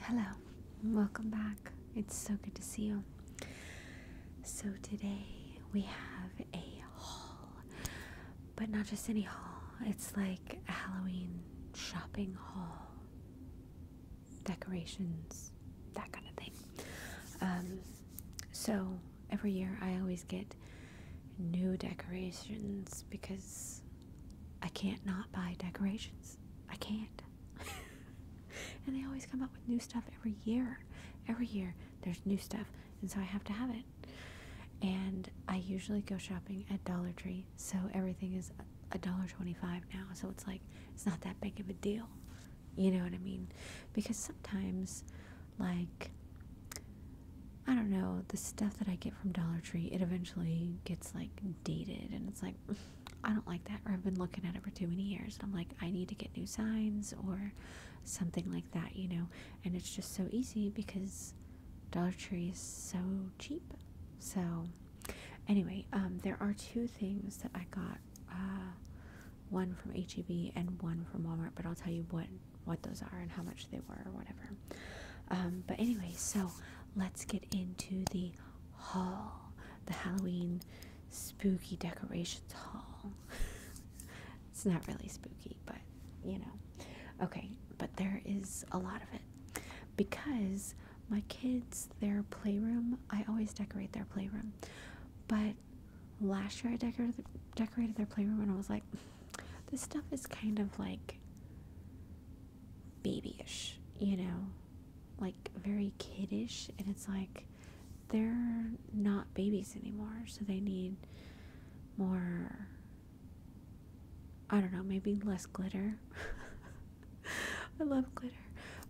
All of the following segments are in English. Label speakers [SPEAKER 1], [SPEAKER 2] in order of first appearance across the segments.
[SPEAKER 1] Hello, welcome back. It's so good to see you. So, today we have a haul, but not just any haul, it's like a Halloween shopping haul, decorations, that kind of thing. Um, so, every year I always get new decorations because I can't not buy decorations. I can't. and they always come up with new stuff every year. Every year there's new stuff, and so I have to have it. And I usually go shopping at Dollar Tree, so everything is a dollar twenty-five now. So it's like it's not that big of a deal, you know what I mean? Because sometimes like I don't know, the stuff that I get from Dollar Tree, it eventually gets like dated and it's like I don't like that or I've been looking at it for too many years and I'm like I need to get new signs or something like that, you know. And it's just so easy because Dollar Tree is so cheap. So anyway, um, there are two things that I got uh, one from HEB and one from Walmart, but I'll tell you what what those are and how much they were or whatever. Um, but anyway, so let's get into the hall, the Halloween spooky decorations hall. it's not really spooky, but you know. Okay, but there is a lot of it because my kids, their playroom, I always decorate their playroom, but last year I decorated decorated their playroom and I was like. This stuff is kind of like babyish, you know, like very kiddish, and it's like they're not babies anymore, so they need more. I don't know, maybe less glitter. I love glitter,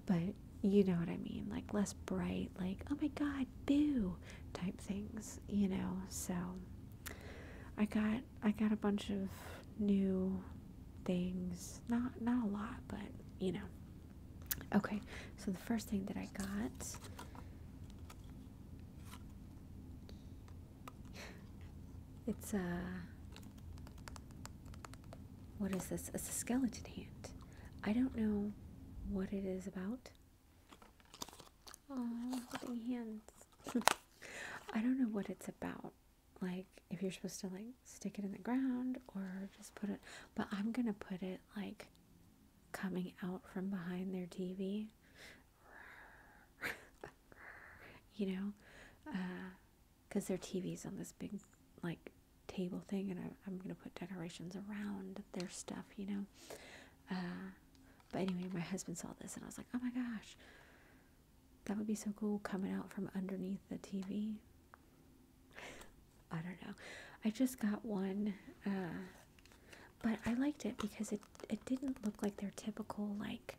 [SPEAKER 1] but you know what I mean, like less bright, like, oh my god, boo type things, you know. So I got I got a bunch of new things. Not not a lot, but you know. Okay, so the first thing that I got It's a what is this? It's a skeleton hand. I don't know what it is about. Oh, holding hands. I don't know what it's about. Like if you're supposed to like stick it in the ground or just put it but I'm gonna put it like coming out from behind their TV. you know? because uh, their TV is on this big like table thing and I, I'm gonna put decorations around their stuff, you know. Uh, but anyway, my husband saw this and I was like, oh my gosh, that would be so cool coming out from underneath the TV. I don't know. I just got one, uh, but I liked it because it, it didn't look like their typical, like,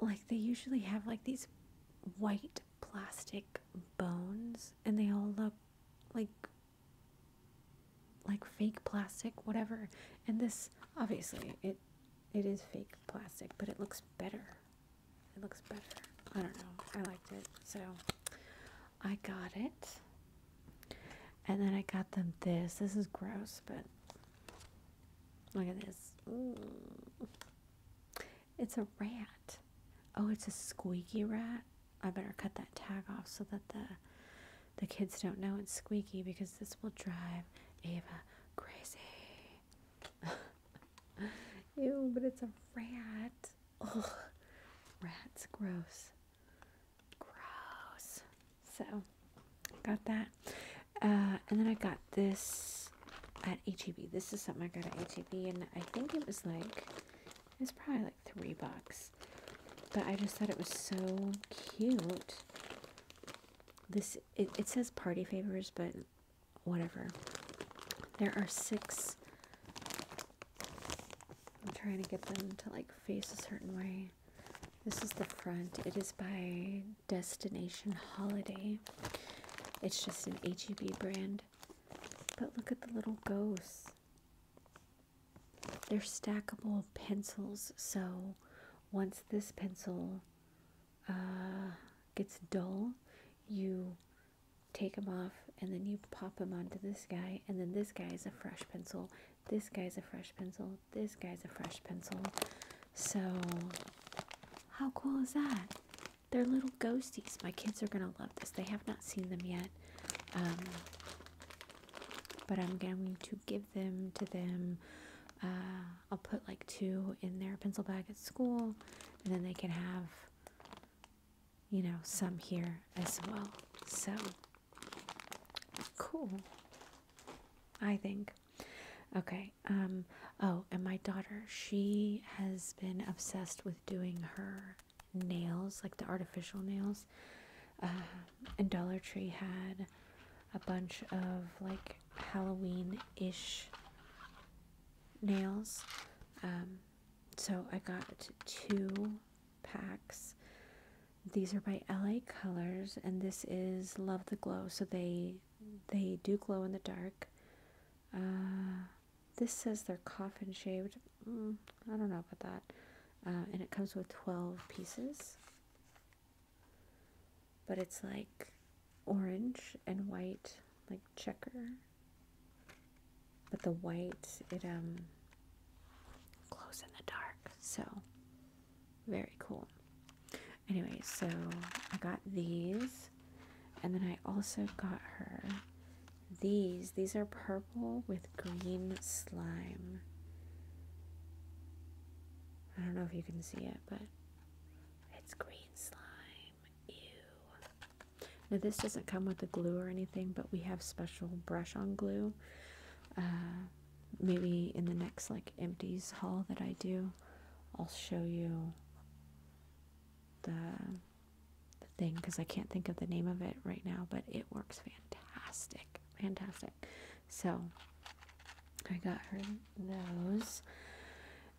[SPEAKER 1] like they usually have like these white plastic bones and they all look like like fake plastic, whatever. And this, obviously, it it is fake plastic, but it looks better. It looks better. I don't know. I liked it, so I got it. And then I got them this. This is gross, but look at this. It's a rat. Oh, it's a squeaky rat. I better cut that tag off so that the the kids don't know it's squeaky because this will drive Ava crazy. Ew, but it's a rat. Ugh. Rats, gross. Gross. So, got that. Uh, and then I got this at HEB. This is something I got at HEB, and I think it was like, it's probably like three bucks but I just thought it was so cute. This it, it says party favors, but whatever. There are six. I'm trying to get them to like face a certain way. This is the front. It is by Destination Holiday. It's just an HEB brand. But look at the little ghosts. They're stackable pencils, so once this pencil uh, gets dull, you take them off and then you pop them onto this guy, and then this guy is a fresh pencil, this guy's a fresh pencil, this guy's a fresh pencil. So, how cool is that? They're little ghosties. My kids are going to love this. They have not seen them yet. Um, but I'm going to give them to them. Uh, I'll put like two in their pencil bag at school, and then they can have, you know, some here as well. So cool, I think. Okay. Um. Oh, and my daughter, she has been obsessed with doing her nails, like the artificial nails. Uh, and Dollar Tree had a bunch of like Halloween ish nails. Um, so I got two packs. These are by LA Colors, and this is Love the Glow. So they they do glow in the dark. Uh, this says they're coffin shaped, Mm, I don't know about that. Uh, and it comes with 12 pieces. But it's like orange and white, like checker. But the white, it um, glows in the dark. So, very cool. Anyway, so I got these. And then I also got her these. These are purple with green slime. I don't know if you can see it, but it's green slime. Ew. Now this doesn't come with the glue or anything, but we have special brush on glue. Uh, maybe in the next like empties haul that I do, I'll show you the the thing because I can't think of the name of it right now, but it works fantastic. Fantastic. So I got her those.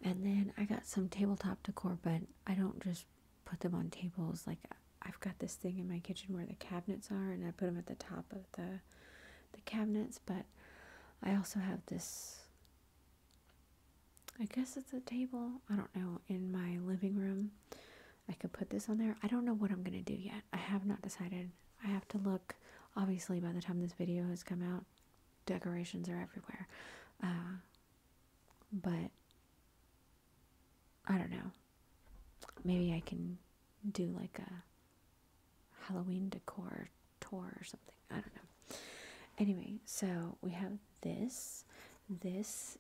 [SPEAKER 1] And then I got some tabletop decor, but I don't just put them on tables. Like I've got this thing in my kitchen where the cabinets are and I put them at the top of the the cabinets, but I also have this I guess it's a table, I don't know, in my living room I could put this on there. I don't know what I'm going to do yet. I have not decided. I have to look. Obviously, by the time this video has come out, decorations are everywhere. Uh, but I don't know. Maybe I can do like a Halloween decor tour or something. I don't know. Anyway, so we have this. This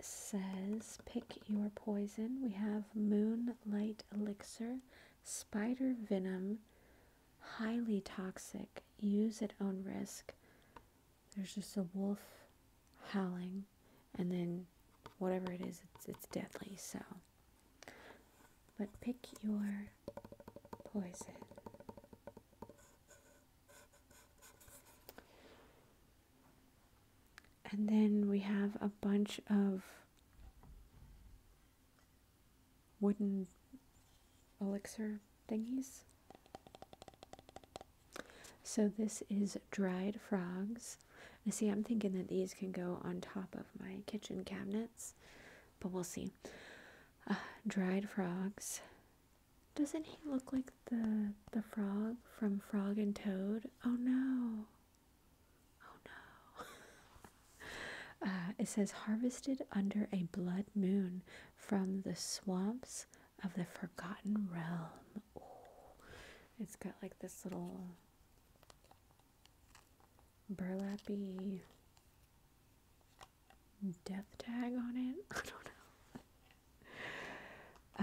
[SPEAKER 1] says pick your poison. We have moonlight elixir, spider venom, highly toxic, use at own risk. There's just a wolf howling, and then whatever it is, it's, it's deadly. So, but pick your poison. And then we have a bunch of wooden elixir thingies. So this is dried frogs. I see, I'm thinking that these can go on top of my kitchen cabinets, but we'll see. Uh, dried frogs. Doesn't he look like the the frog from Frog and Toad. Oh no. Oh no. Uh, it says harvested under a blood moon from the swamps of the Forgotten Realm. It's got like this little burlap burlappy death tag on it. I don't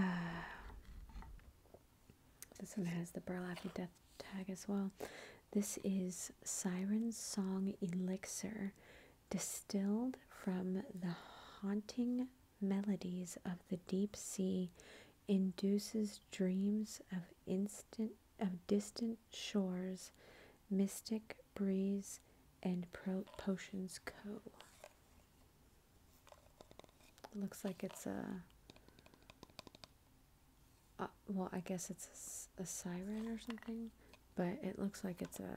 [SPEAKER 1] know. Uh, this one has the burlap death tag as well. This is Siren's Song Elixir, distilled from the haunting melodies of the deep sea, induces dreams of instant of distant shores, mystic breeze, and Potions Co. Looks like it's a. Uh, well, I guess it's a, siren or something, but it looks like it's a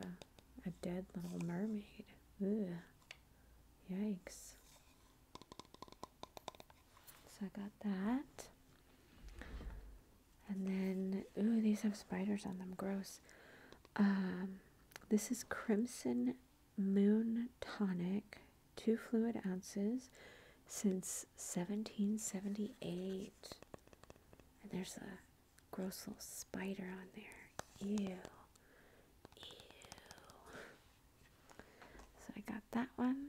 [SPEAKER 1] a dead little mermaid. Ugh. Yikes. So I got that. And then, ooh, these have spiders on them. Gross. Um, this is Crimson Moon Tonic, 2 fluid ounces since 1778. And there's a gross little spider on there. Ew. Ew. So I got that one.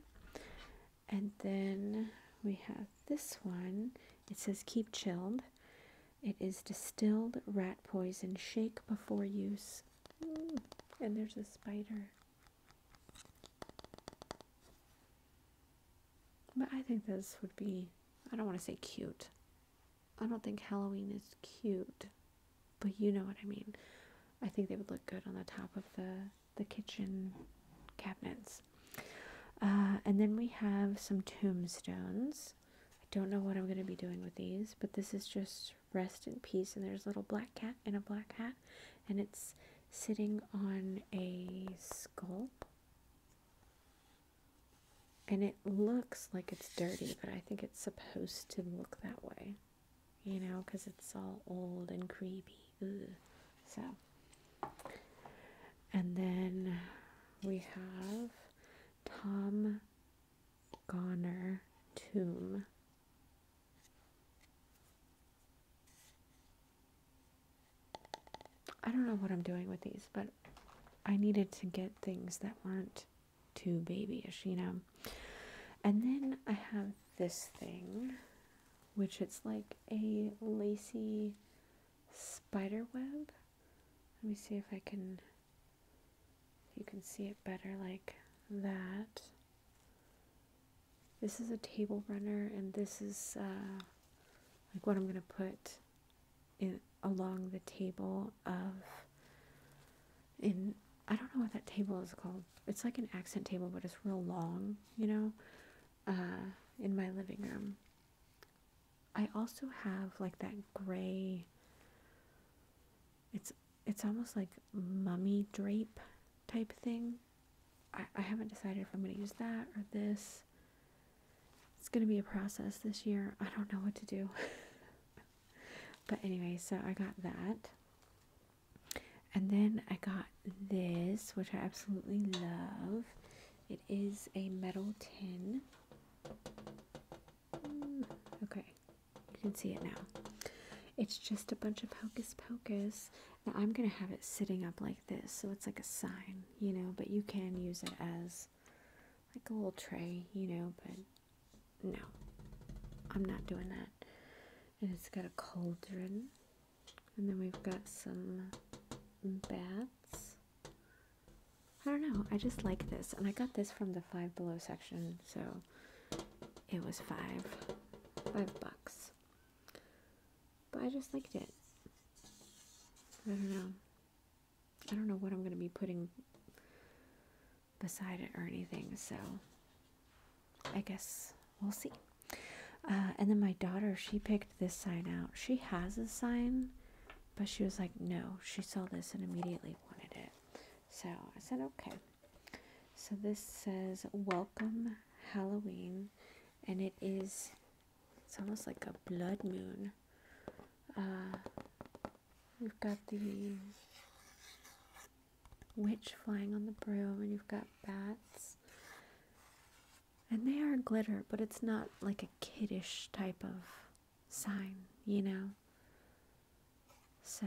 [SPEAKER 1] And then we have this one. It says keep chilled. It is distilled rat poison. Shake before use. Mm. and there's a spider. But I think this would be, I don't want to say cute. I don't think Halloween is cute, but you know what I mean. I think they would look good on the top of the, the kitchen cabinets. Uh, and then we have some tombstones. I don't know what I'm going to be doing with these, but this is just rest in peace and there's a little black cat in a black hat and it's sitting on a skull and it looks like it's dirty but i think it's supposed to look that way you know because it's all old and creepy so and then we have tom Goner tomb. I don't know what I'm doing with these, but I needed to get things that weren't too babyish, you know. And then I have this thing, which it's like a lacy spider web. Let me see if I can you can see it better like that. This is a table runner, and this is uh, like what I'm going to put in along the table of in I don't know what that table is called. It's like an accent table, but it's real long, you know, uh, in my living room. I also have like that gray it's it's almost like mummy drape type thing. I, I haven't decided if I'm going to use that or this. It's going to be a process this year. I don't know what to do. but anyway, so I got that. And then I got this, which I absolutely love. It is a metal tin. Mm, okay, you can see it now. It's just a bunch of hocus pocus. Now I'm gonna have it sitting up like this, so it's like a sign, you know, but you can use it as like a little tray, you know, but no, I'm not doing that. And it's got a cauldron, and then we've got some bats. I don't know, I just like this, and I got this from the Five Below section, so it was five five bucks but I just liked it I don't know I don't know what I'm gonna be putting beside it or anything so I guess we'll see uh, and then my daughter she picked this sign out she has a sign but she was like no she saw this and immediately wanted it so I said, okay. So this says, Welcome Halloween. And it is, it's almost like a blood moon. Uh, we've got the witch flying on the broom, and you've got bats. And they are glitter, but it's not like a kiddish type of sign, you know? So,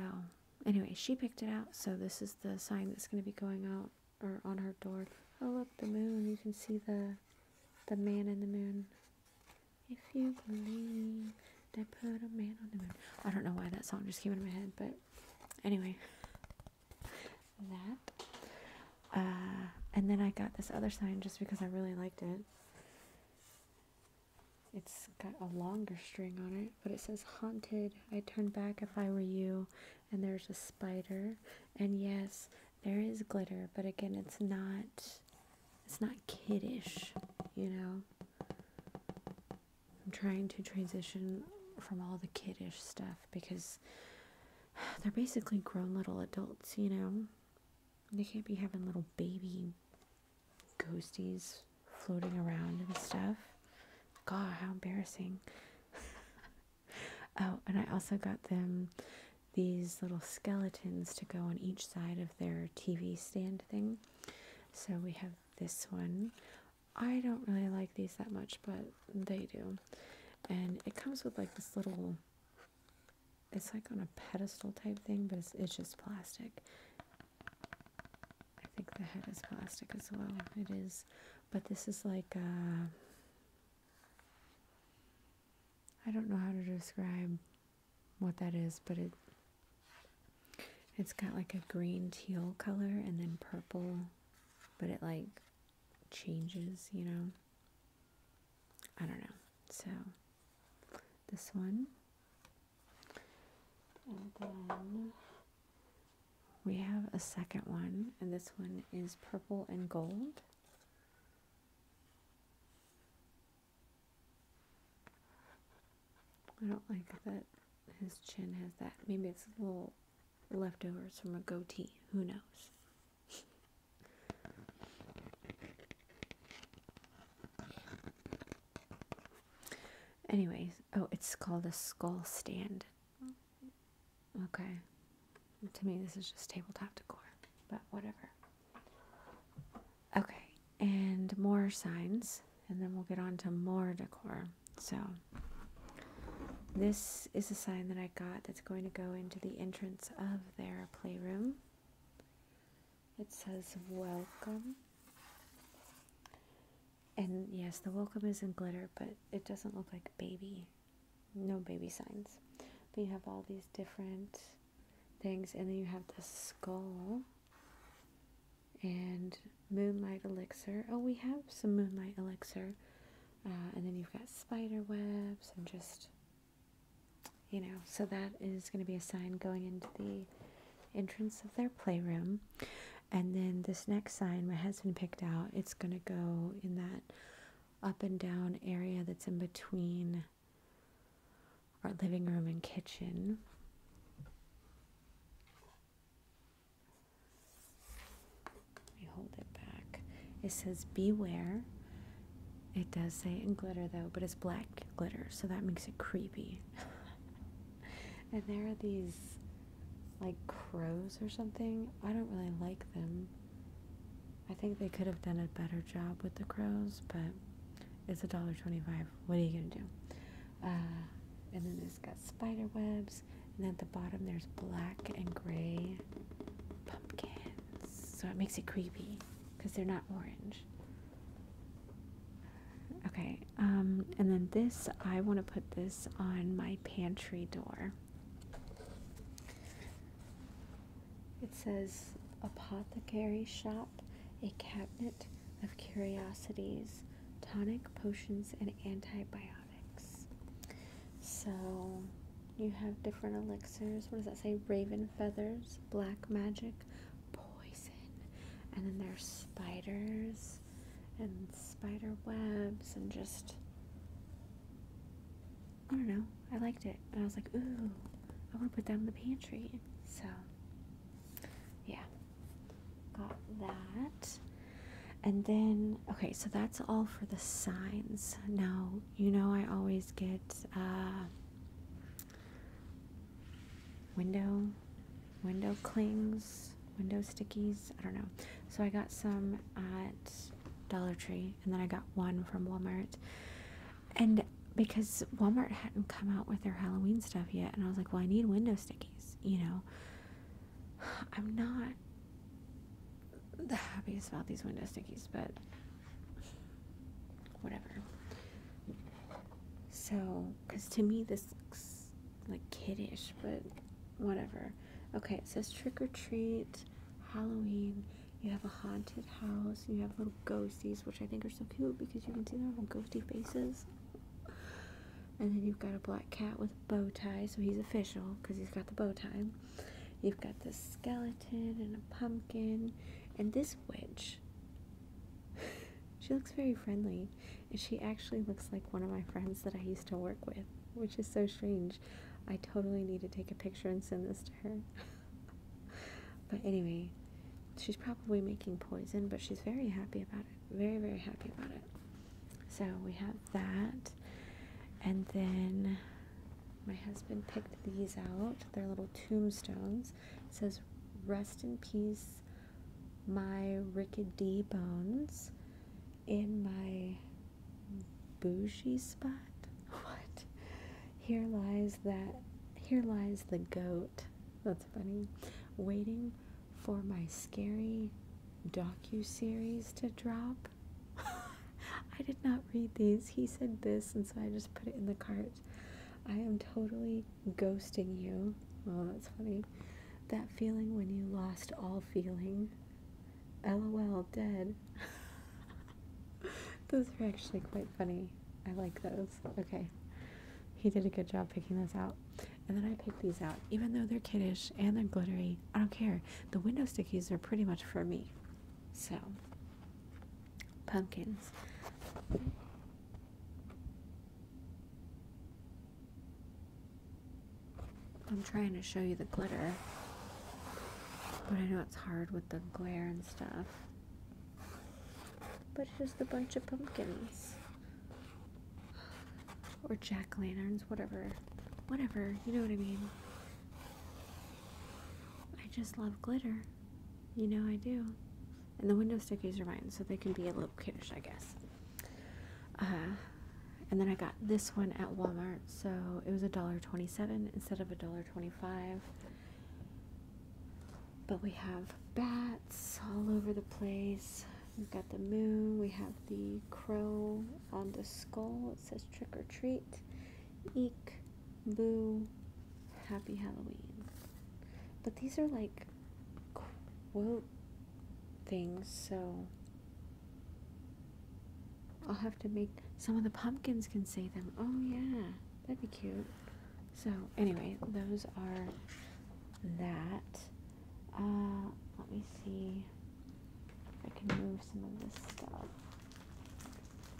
[SPEAKER 1] anyway, she picked it out. So this is the sign that's going to be going out or on her door. Oh, look, the moon. You can see the the man in the moon. If you believe, they put a man on the moon. I don't know why that song just came into my head, but anyway, that. Uh, and then I got this other sign just because I really liked it. It's got a longer string on it, but it says haunted. I turn back if I were you, and there's a spider. And yes, there is glitter, but again, it's not it's not kiddish, you know. I'm trying to transition from all the kiddish stuff because they're basically grown little adults, you know. They can't be having little baby ghosties floating around and stuff. God, how embarrassing. oh, and I also got them these little skeletons to go on each side of their TV stand thing. So we have this one. I don't really like these that much, but they do. And it comes with like this little, it's like on a pedestal type thing, but it's, it's just plastic. I think the head is plastic as well. It is, but this is like uh, I don't know how to describe what that is, but it it's got like a green teal color and then purple, but it like changes, you know. I don't know. So this one and then we have a second one, and this one is purple and gold. I don't like that his chin has that. Maybe it's a little leftovers from a goatee. Who knows? Anyways, oh, it's called a skull stand. Okay. To me, this is just tabletop decor, but whatever. Okay, and more signs, and then we'll get on to more decor. So, this is a sign that I got that's going to go into the entrance of their playroom. It says welcome. And yes, the welcome is in glitter, but it doesn't look like baby. No baby signs. But you have all these different things, and then you have the skull and moonlight elixir. Oh, we have some moonlight elixir. Uh, and then you've got spider webs and just, you know, so that is going to be a sign going into the entrance of their playroom. And then this next sign my husband picked out, it's going to go in that up and down area that's in between our living room and kitchen. Let hold it back. It says beware. It does say in glitter though, but it's black glitter, so that makes it creepy. and there are these like crows or something. I don't really like them. I think they could have done a better job with the crows, but it's a dollar twenty-five. What are you gonna do? Uh, and then it's got spider webs, and at the bottom there's black and gray pumpkins. So it makes it creepy because they're not orange. Okay, um, and then this, I want to put this on my pantry door. It says Apothecary Shop, a cabinet of curiosities, tonic, potions, and antibiotics. So you have different elixirs. What does that say? Raven feathers, black magic, poison. And then there's spiders and spider webs and just I don't know. I liked it. And I was like, ooh, I want to put that in the pantry. So, yeah. Got that. And then, okay, so that's all for the signs. Now, you know I always get, uh, window window clings window stickies i don't know so i got some at dollar tree and then i got one from walmart and because walmart hadn't come out with their halloween stuff yet and i was like well i need window stickies you know i'm not the happiest about these window stickies but whatever so, because to me this looks like kiddish, but whatever. Okay, it says trick or treat, Halloween. You have a haunted house. You have little ghosties, which I think are so cute because you can see their little ghosty faces. And then you've got a black cat with a bow tie, so he's official because he's got the bow tie. You've got the skeleton and a pumpkin, and this witch. she looks very friendly she actually looks like one of my friends that I used to work with, which is so strange. I totally need to take a picture and send this to her. but anyway, she's probably making poison, but she's very happy about it. Very, very happy about it. So we have that. And then my husband picked these out. They're little tombstones. It says, Rest in peace, my rickety bones in my bougie spot. What? Here lies that. Here lies the goat. That's funny. Waiting for my scary docu series to drop. I did not read these. He said this, and so I just put it in the cart. I am totally ghosting you. Oh, that's funny. That feeling when you lost all feeling. LOL, dead. those are actually quite funny. I like those. Okay. He did a good job picking those out. And then I picked these out. Even though they're kiddish and they're glittery, I don't care. The window stickies are pretty much for me. So, pumpkins. I'm trying to show you the glitter, but I know it's hard with the glare and stuff. But here's the bunch of pumpkins. Or jack-lanterns, whatever. Whatever, you know what I mean. I just love glitter. You know I do and the window stickers are mine, so they can be a little kiddish, I guess. Uh, and then I got this one at Walmart, so it was a dollar twenty-seven instead of a dollar twenty-five. But we have bats all over the place. We've got the moon. We have the crow on the skull. It says trick or treat. Eek, boo, happy Halloween. But these are like quilt things, so I'll have to make some of the pumpkins can say them. Oh, yeah, that'd be cute. So, anyway, those are that. Uh, let me see if I can move some of this stuff.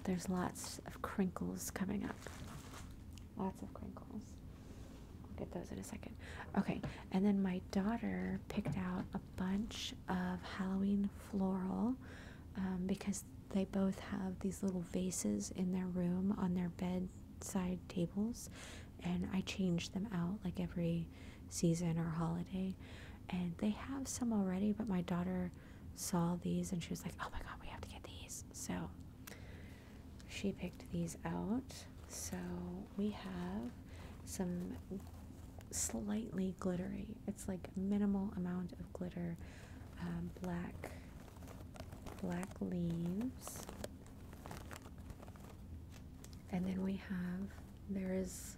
[SPEAKER 1] There's lots of crinkles coming up. Lots of crinkles. I'll get those in a second. Okay, and then my daughter picked out a bunch of Halloween floral um, because they both have these little vases in their room on their bedside tables, and I change them out like every season or holiday. And they have some already, but my daughter saw these and she was like, Oh my god, we have to get these. So she picked these out. So we have some slightly glittery, it's like minimal amount of glitter, uh, black, black leaves. And then we have, there is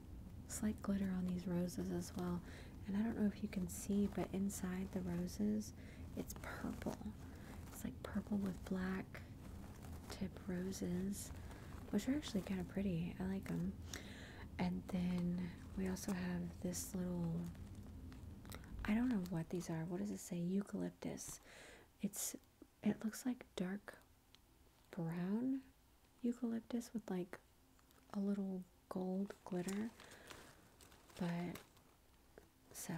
[SPEAKER 1] slight glitter on these roses as well. And I don't know if you can see, but inside the roses, it's purple. It's like purple with black tip roses, which are actually kind of pretty. I like them. And then we also have this little I don't know what these are. What does it say? Eucalyptus. It's it looks like dark brown eucalyptus with like a little gold glitter. But so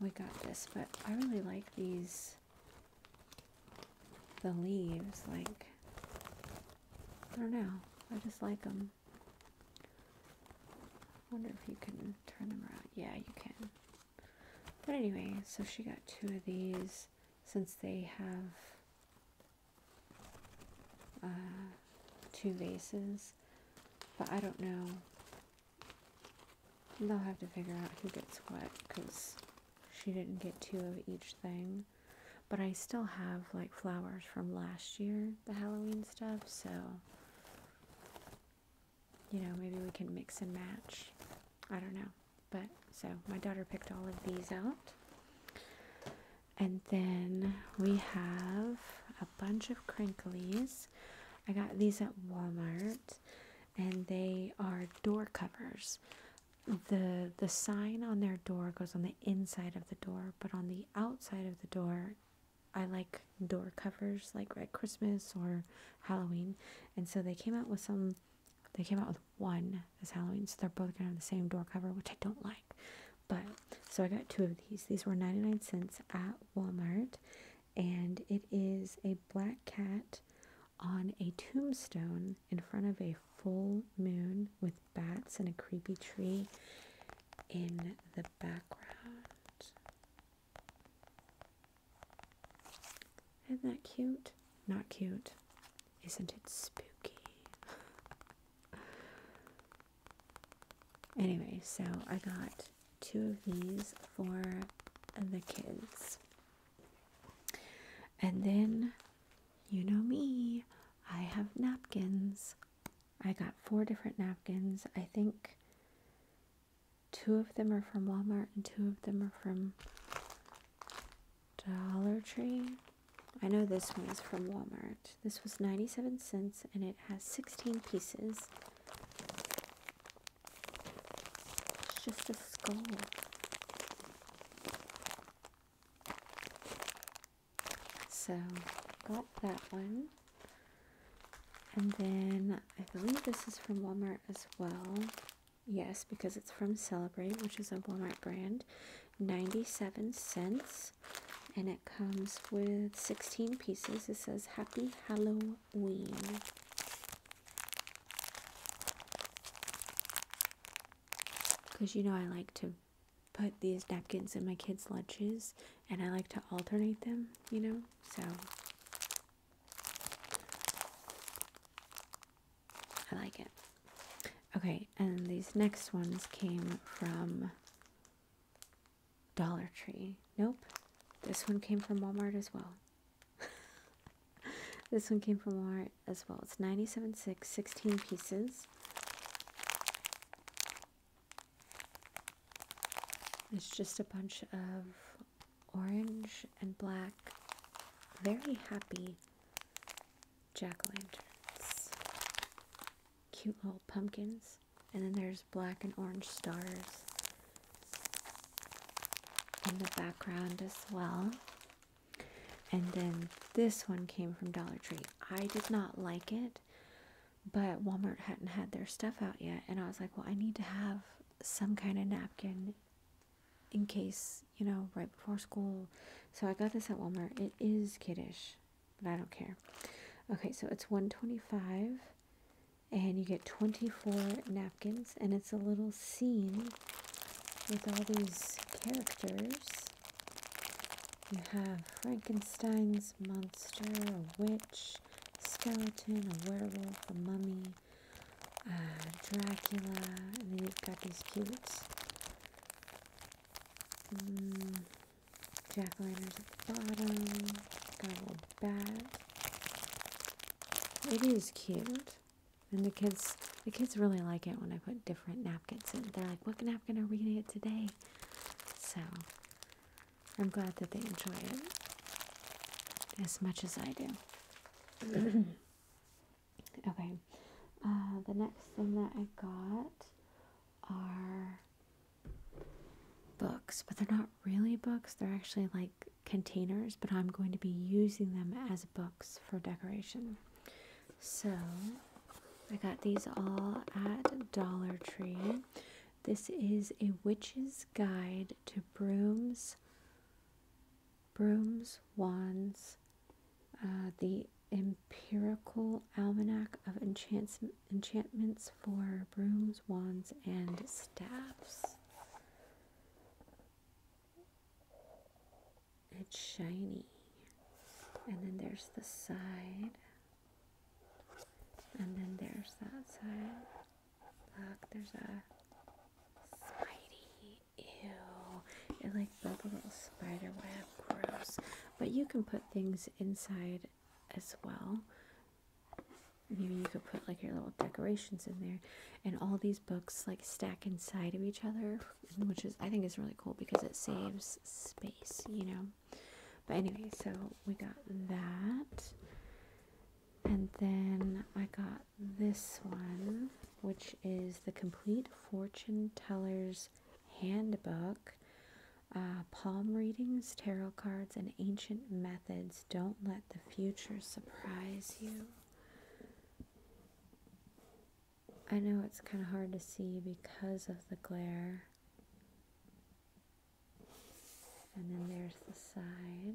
[SPEAKER 1] we got this, but I really like these, the leaves, like, I don't know, I just like them. I wonder if you can turn them around. Yeah, you can. But anyway, so she got two of these since they have uh, two vases, but I don't know They'll have to figure out who gets what because she didn't get two of each thing. But I still have like flowers from last year, the Halloween stuff, so you know, maybe we can mix and match. I don't know. But so my daughter picked all of these out. And then we have a a bunch of crinklies. I got these at Walmart and they are door covers. The the sign on their door goes on the inside of the door, but on the outside of the door I like door covers like at Christmas or Halloween. And so they came out with some they came out with one this Halloween, so they're both kind of the same door cover, which I don't like. But so I got two of these. These were 99 cents at Walmart and it is a black cat on a tombstone in front of a full moon with bats and a creepy tree in the background. Isn't that cute? Not cute. Isn't it spooky? anyway, so I got two of these for the kids. And then, you know me, I have napkins. I got four different napkins. I think two of them are from Walmart and two of them are from Dollar Tree. I know this one is from Walmart. This was 97 cents and it has 16 pieces. It's just a skull. So, got that one. And then I believe this is from Walmart as well. Yes, because it's from Celebrate, which is a Walmart brand. 97 cents. And it comes with 16 pieces. It says Happy Halloween Halloween. Because you know, I like to put these napkins in my kids' lunches and I like to alternate them, you know? So I like it. Okay, and these next ones came from Dollar Tree. Nope. This one came from Walmart as well. this one came from Walmart as well. It's 97.6, 16 pieces. It's just a bunch of orange and black, very happy jack-o'-lanterns. Cute little pumpkins. And then there's black and orange stars in the background as well. And then this one came from Dollar Tree. I did not like it, but Walmart hadn't had their stuff out yet. And I was like, well, I need to have some kind of napkin in case, you know, right before school. So I got this at Walmart. It is kiddish, but I don't care. Okay, so it's 125 and you get 24 napkins and it's a little scene with all these characters you have frankenstein's monster a witch skeleton a werewolf a mummy uh, dracula and then you've got these cute mm, jack o at the bottom but It is cute. And the kids the kids really like it when I put different napkins in. They're like, what napkin are we gonna get today? So I'm glad that they enjoy it as much as I do. okay. Uh, the next thing that I got are books, but they're not really books. They're actually like containers, but I'm going to be using them as books for decoration. So I got these all at Dollar Tree. This is a witch's guide to brooms, brooms, wands, uh, the empirical almanac of enchantments for brooms, wands, and staffs. It's shiny. And then there's the side. And then there's that side. Look, there's a spidey. Ew. It like built a little spider web. Gross. But you can put things inside as well. Maybe you could put like your little decorations in there, and all these books like stack inside of each other, which is I think is really cool because it saves space, you know. But anyway, so we got that, and then I got this one, which is the Complete Fortune Teller's Handbook. Uh, palm readings, tarot cards, and ancient magic. Don't let the future surprise you. I know it's kind of hard to see because of the glare. And then there's the side.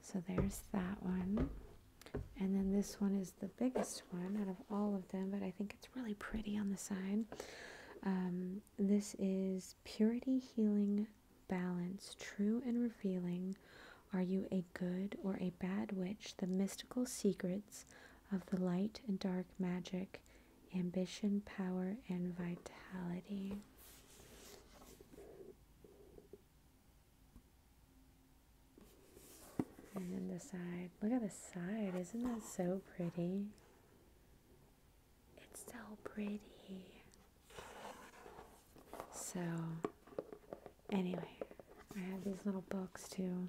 [SPEAKER 1] So there's that one. And then this one is the biggest one out of all of them, but I think it's really pretty on the side. Um, this is Purity Healing Balance True and Revealing. Are you a good or a bad witch? The mystical secrets of the light and dark magic, ambition, power, and vitality. And then the side. Look at the side. Isn't that so pretty? It's so pretty. So, anyway, I have these little books to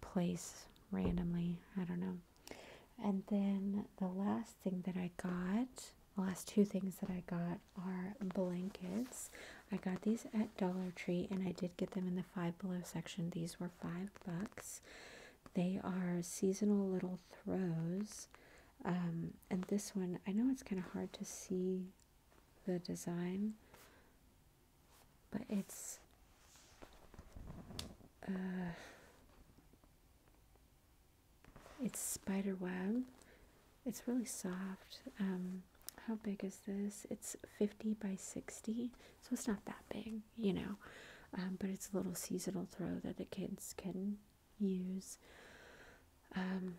[SPEAKER 1] place randomly. I don't know. And then the last thing that I got, the last two things that I got are blankets. I got these at Dollar Tree and I did get them in the five below section. These were five bucks. They are seasonal little throws. Um, and this one, I know it's kind of hard to see the design, but it's. Uh, it's spider web. It's really soft. Um, how big is this? It's 50 by 60, so it's not that big you know. Um, but it's a little seasonal throw that the kids can use. Um,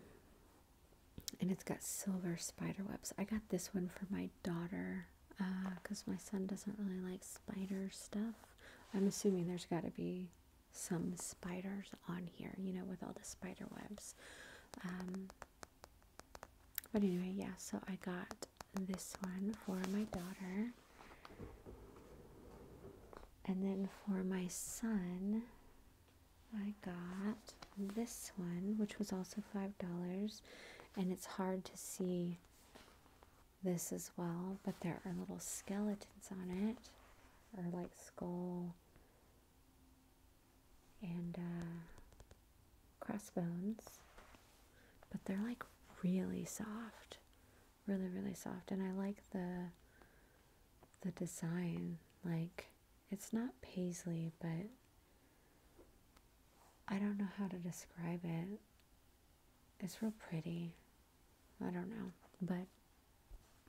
[SPEAKER 1] and it's got silver spider webs. I got this one for my daughter because uh, my son doesn't really like spider stuff. I'm assuming there's got to be some spiders on here, you know, with all the spider webs. Um, but anyway, yeah, so I got this one for my daughter. And then for my son, I got this one, which was also $5. And it's hard to see this as well, but there are little skeletons on it, or like skull and uh, crossbones, but they're like really soft, really really soft, and I like the the design. Like it's not paisley, but I don't know how to describe it. It's real pretty. I don't know, but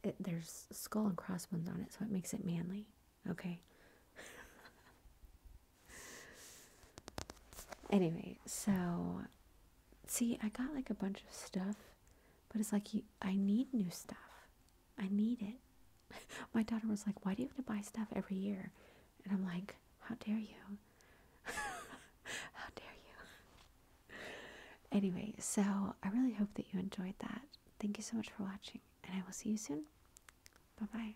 [SPEAKER 1] it, there's skull and crossbones on it, so it makes it manly. Okay. anyway, so see, I got like a bunch of stuff, but it's like you, I need new stuff. I need it. My daughter was like, "Why do you have to buy stuff every year?" And I'm like, "How dare you? How dare you?" Anyway, so I really hope that you enjoyed that. Thank you so much for watching, and I will see you soon. Bye bye.